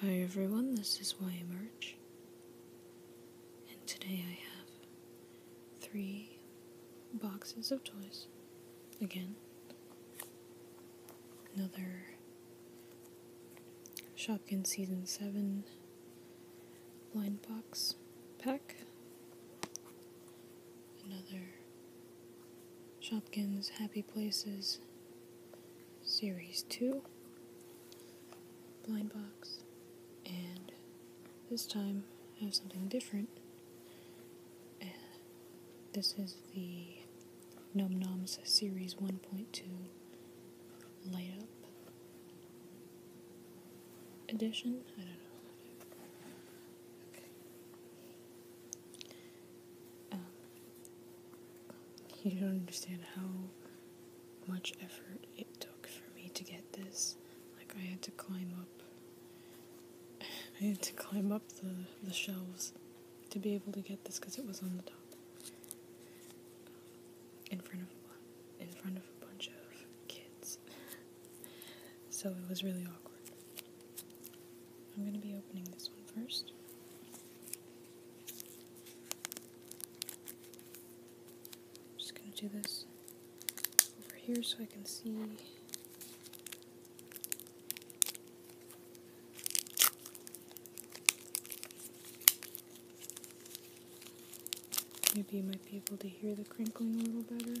Hi everyone, this is Why and today I have three boxes of toys. Again, another Shopkin Season 7 blind box pack, another Shopkins Happy Places Series 2 Blind Box, and this time I have something different. Uh, this is the Num Noms Series 1.2 Light Up Edition. I don't know. Um, you don't understand how much effort it took for me to get this. Like I had to climb up. I had to climb up the, the shelves to be able to get this because it was on the top. in front of in front of a bunch of kids. so it was really awkward. I'm going to be opening this one first. I'm just going to do this over here so I can see. Maybe you might be able to hear the crinkling a little better.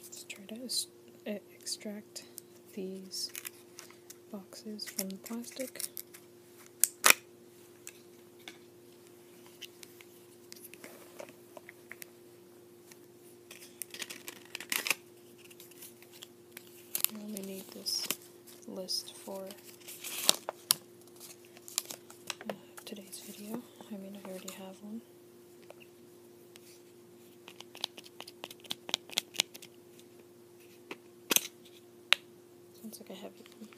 Let's try to eh, extract these boxes from the plastic. I only need this list for uh, today's video. I mean, I already have one. Sounds like a heavy one.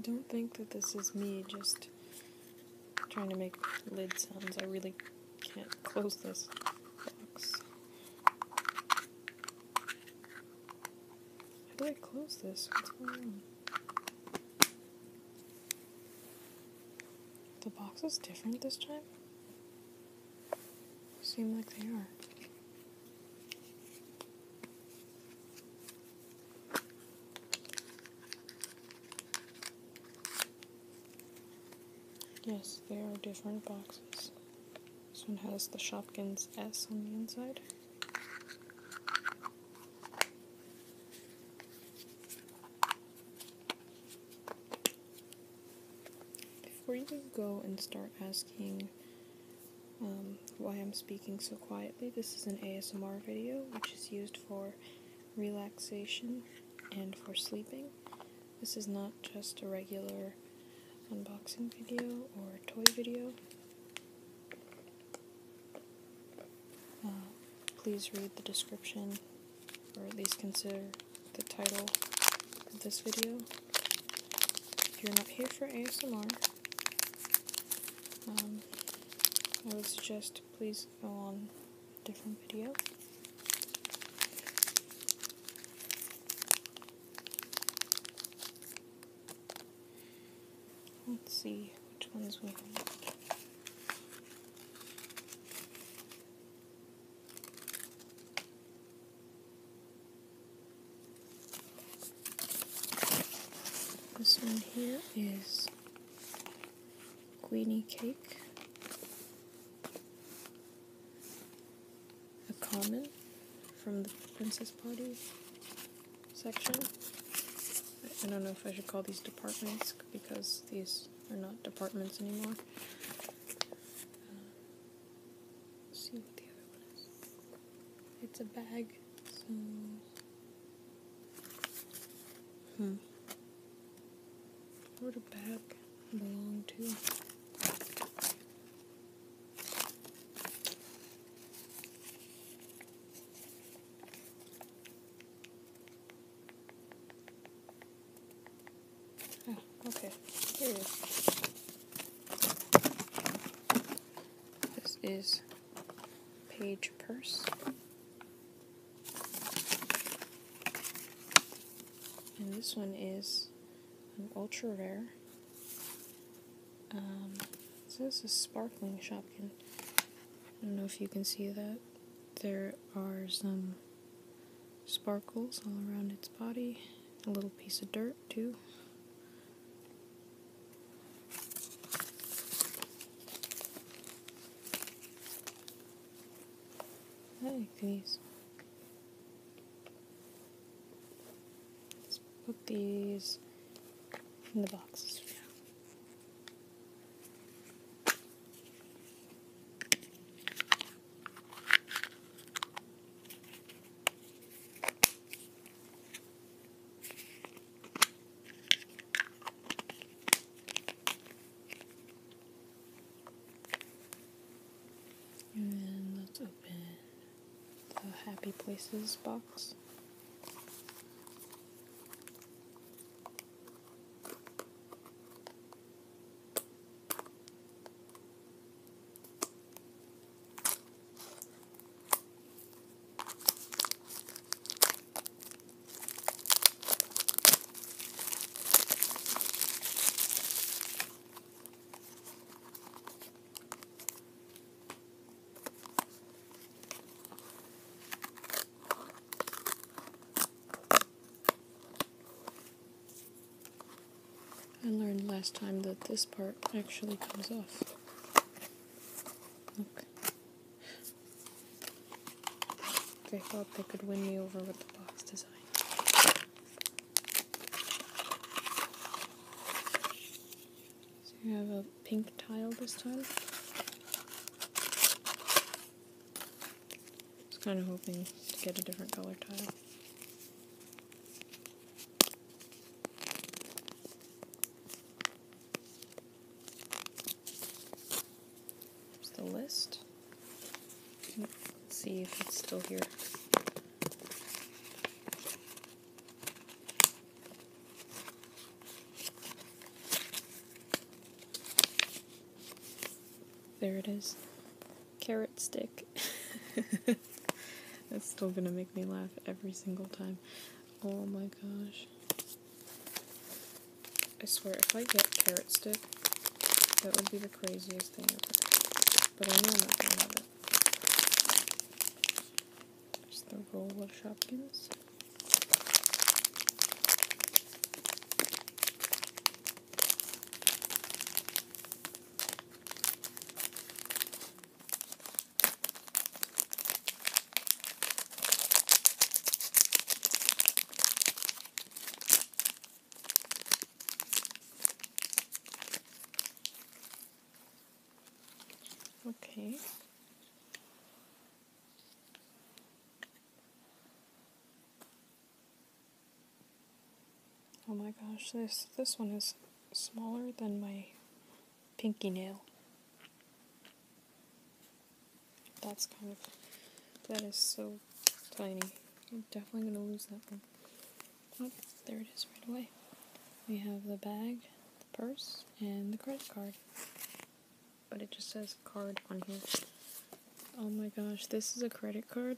Don't think that this is me just trying to make lid sounds. I really can't close this box. How do I close this? The box is different this time? Seem like they are. Yes, they are different boxes. This one has the Shopkins S on the inside. Before you go and start asking um, why I'm speaking so quietly, this is an ASMR video which is used for relaxation and for sleeping. This is not just a regular unboxing video or toy video. Uh, please read the description or at least consider the title of this video. If you're not here for ASMR, um, I would suggest please go on different video. Let's see which ones we have. This one here is Queenie cake, a comment from the princess party section. I don't know if I should call these departments because these are not departments anymore. Uh, see what the other one is. It's a bag, Hmm. Where the back belong to? Oh, okay. Here it is. This is page purse. And this one is an ultra rare. so this is sparkling Shopkin. I don't know if you can see that. There are some sparkles all around its body. A little piece of dirt, too. I these. Let's put these in the boxes and let's open the Happy Places box. I learned last time that this part actually comes off. Look. They thought they could win me over with the box design. So you have a pink tile this time. I was kind of hoping to get a different color tile. There's the list. Let's see if it's still here. There it is. Carrot stick. That's still gonna make me laugh every single time. Oh my gosh. I swear, if I get carrot stick, that would be the craziest thing ever. But I know I'm not gonna have it. Just the roll of Shopkins. Okay. Oh my gosh, this this one is smaller than my pinky nail. That's kind of, that is so tiny. I'm definitely going to lose that one. Oh, there it is right away. We have the bag, the purse, and the credit card. But it just says card on here. Oh my gosh, this is a credit card?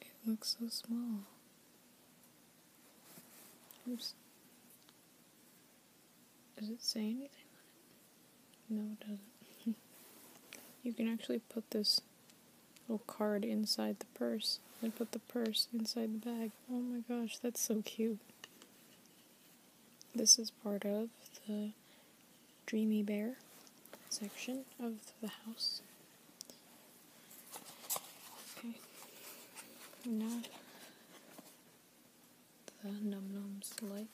It looks so small. Oops. Does it say anything on it? No, it doesn't. you can actually put this little card inside the purse and put the purse inside the bag. Oh my gosh, that's so cute. This is part of the Dreamy Bear section of the house. Okay. Now the Num Num's light.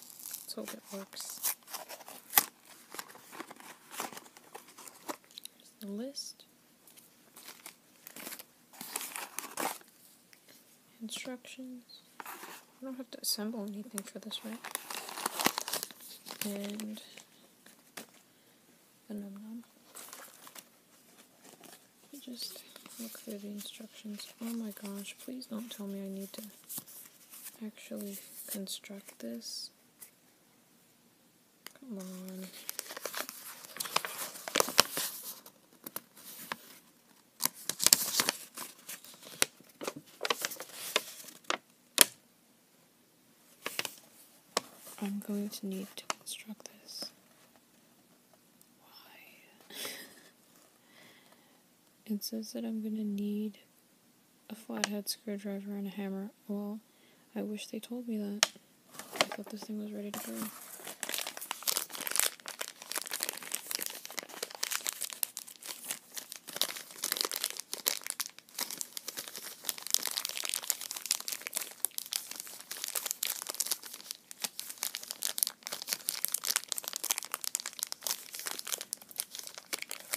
Let's hope it works. Here's the list. Instructions. I don't have to assemble anything for this, right? And the Just look through the instructions. Oh my gosh, please don't tell me I need to actually construct this. Come on. I'm going to need to construct this. Why? it says that I'm going to need a flathead screwdriver and a hammer. Well, I wish they told me that. I thought this thing was ready to go.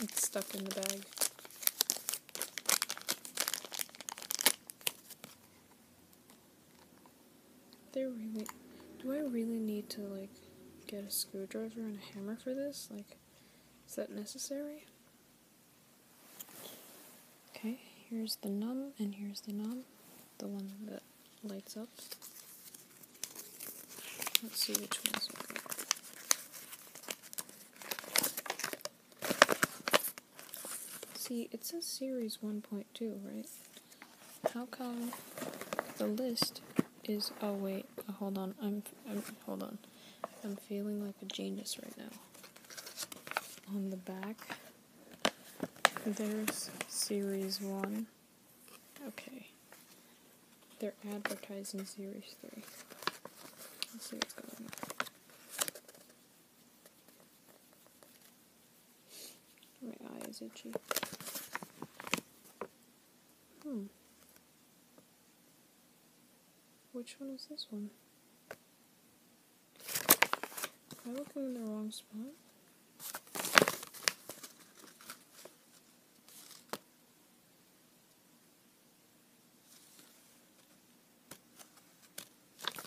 It's stuck in the bag. do I really need to like get a screwdriver and a hammer for this? Like is that necessary? Okay, here's the num, and here's the num, the one that lights up. Let's see which one's See, it says series 1.2, right? How come the list is, oh wait, hold on, I'm hold on. I'm feeling like a genius right now. On the back, there's series one. Okay. They're advertising series three. Let's see what's going on. My eye is itchy. Hmm. Which one is this one? Am I looking in the wrong spot?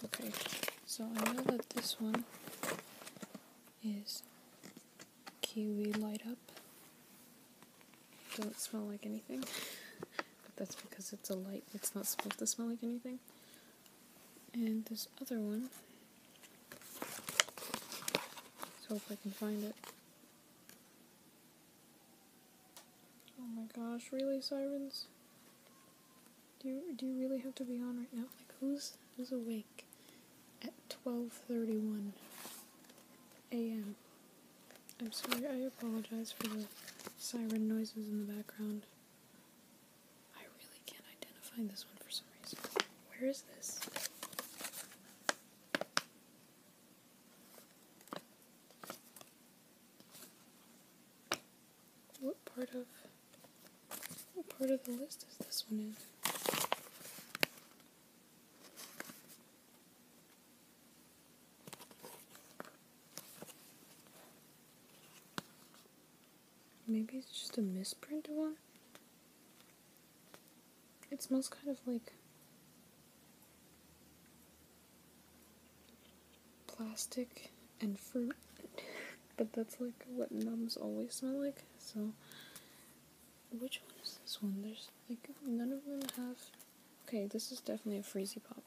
Okay, so I know that this one is Kiwi Light Up doesn't smell like anything. but that's because it's a light, it's not supposed to smell like anything. And this other one. So if I can find it. Oh my gosh, really, sirens? Do do you really have to be on right now? Like, who's, who's awake at 12.31 a.m.? I'm sorry, I apologize for the siren noises in the background. I really can't identify this one for some reason. Where is this? What part of what part of the list is this one in? Maybe it's just a misprint one? It smells kind of like plastic and fruit, but that's like what mums always smell like, so. Which one is this one? There's like none of them have Okay, this is definitely a Freezy Pop.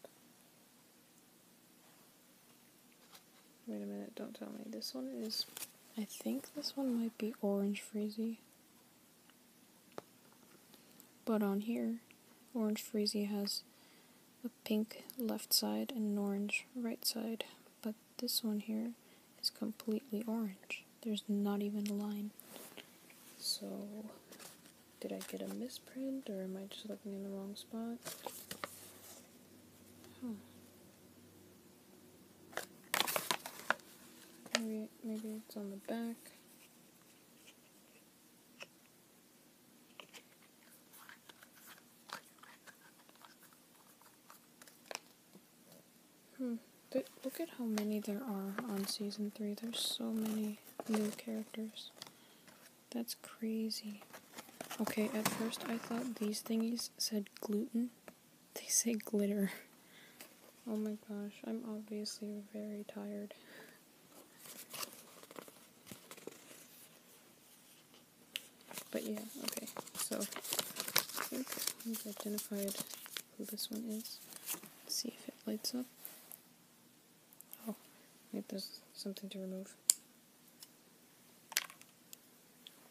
Wait a minute, don't tell me. This one is. I think this one might be Orange Freezy. But on here, Orange Freezy has a pink left side and an orange right side. But this one here is completely orange. There's not even a line. So, did I get a misprint or am I just looking in the wrong spot? Maybe, maybe it's on the back. Hmm. But look at how many there are on season 3. There's so many new characters. That's crazy. Okay, at first I thought these thingies said gluten. They say glitter. Oh my gosh, I'm obviously very tired. But yeah, okay, so I identified who this one is. see if it lights up. Oh, wait, there's something to remove.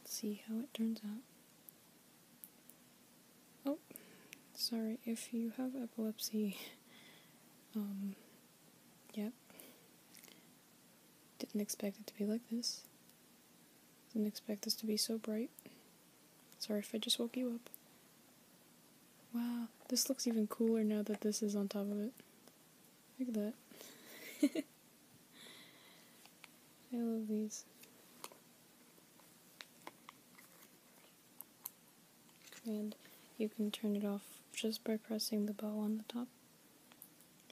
see how it turns out. Oh, sorry, if you have epilepsy, um, yep. Didn't expect it to be like this. Didn't expect this to be so bright. Sorry if I just woke you up. Wow, this looks even cooler now that this is on top of it. Look at that. I love these. And you can turn it off just by pressing the bow on the top.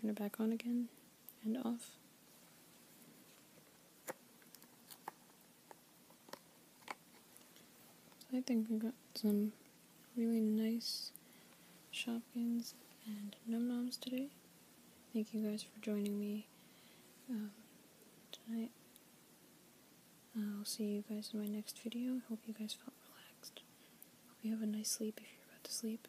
Turn it back on again and off. I think we got some really nice shopkins and num noms today. Thank you guys for joining me um, tonight. I'll see you guys in my next video. I hope you guys felt relaxed. Hope you have a nice sleep if you're about to sleep.